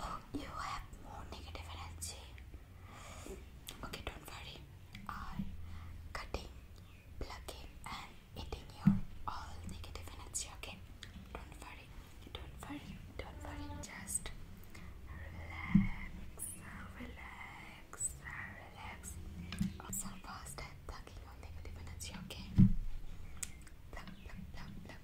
Oh, you have more negative energy. Okay, don't worry. I cutting, plugging, and eating your all negative energy. Okay, don't worry. Don't worry. Don't worry. Just relax, relax, relax. So fast at plugging your negative energy. Okay.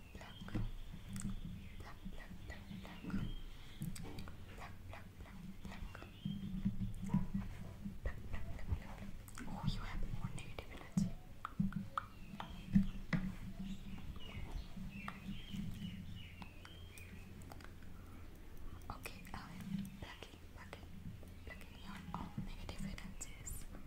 pluck, Oh, you have negative energy. Okay, I am um, plucking, plucking, all negative energies.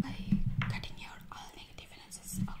by cutting out all negative differences. Okay.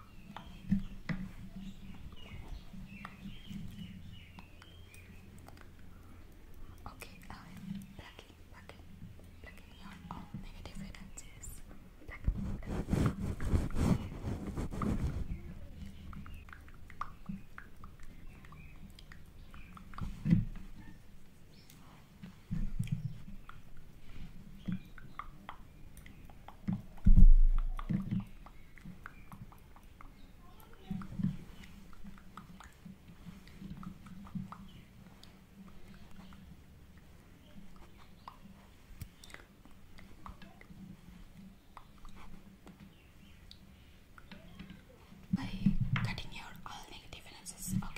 Okay, I'm plugging, plugging, plugging on all negative energies. Plug, by cutting out all negative analysis. Okay.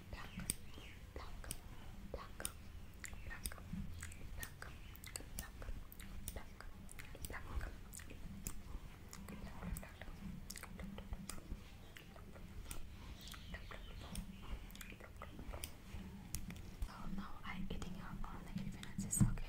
Oh no, I'm eating your own negative finances, okay?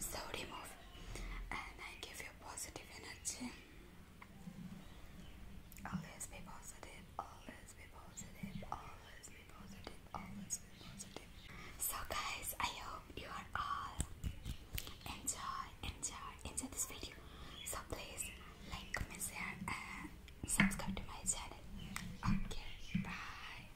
So remove and I give you positive energy. Always be positive, always be positive, always be positive, always be positive. So guys, I hope you are all enjoy, enjoy, enjoy this video. So please like, comment, share and subscribe to my channel. Okay, bye.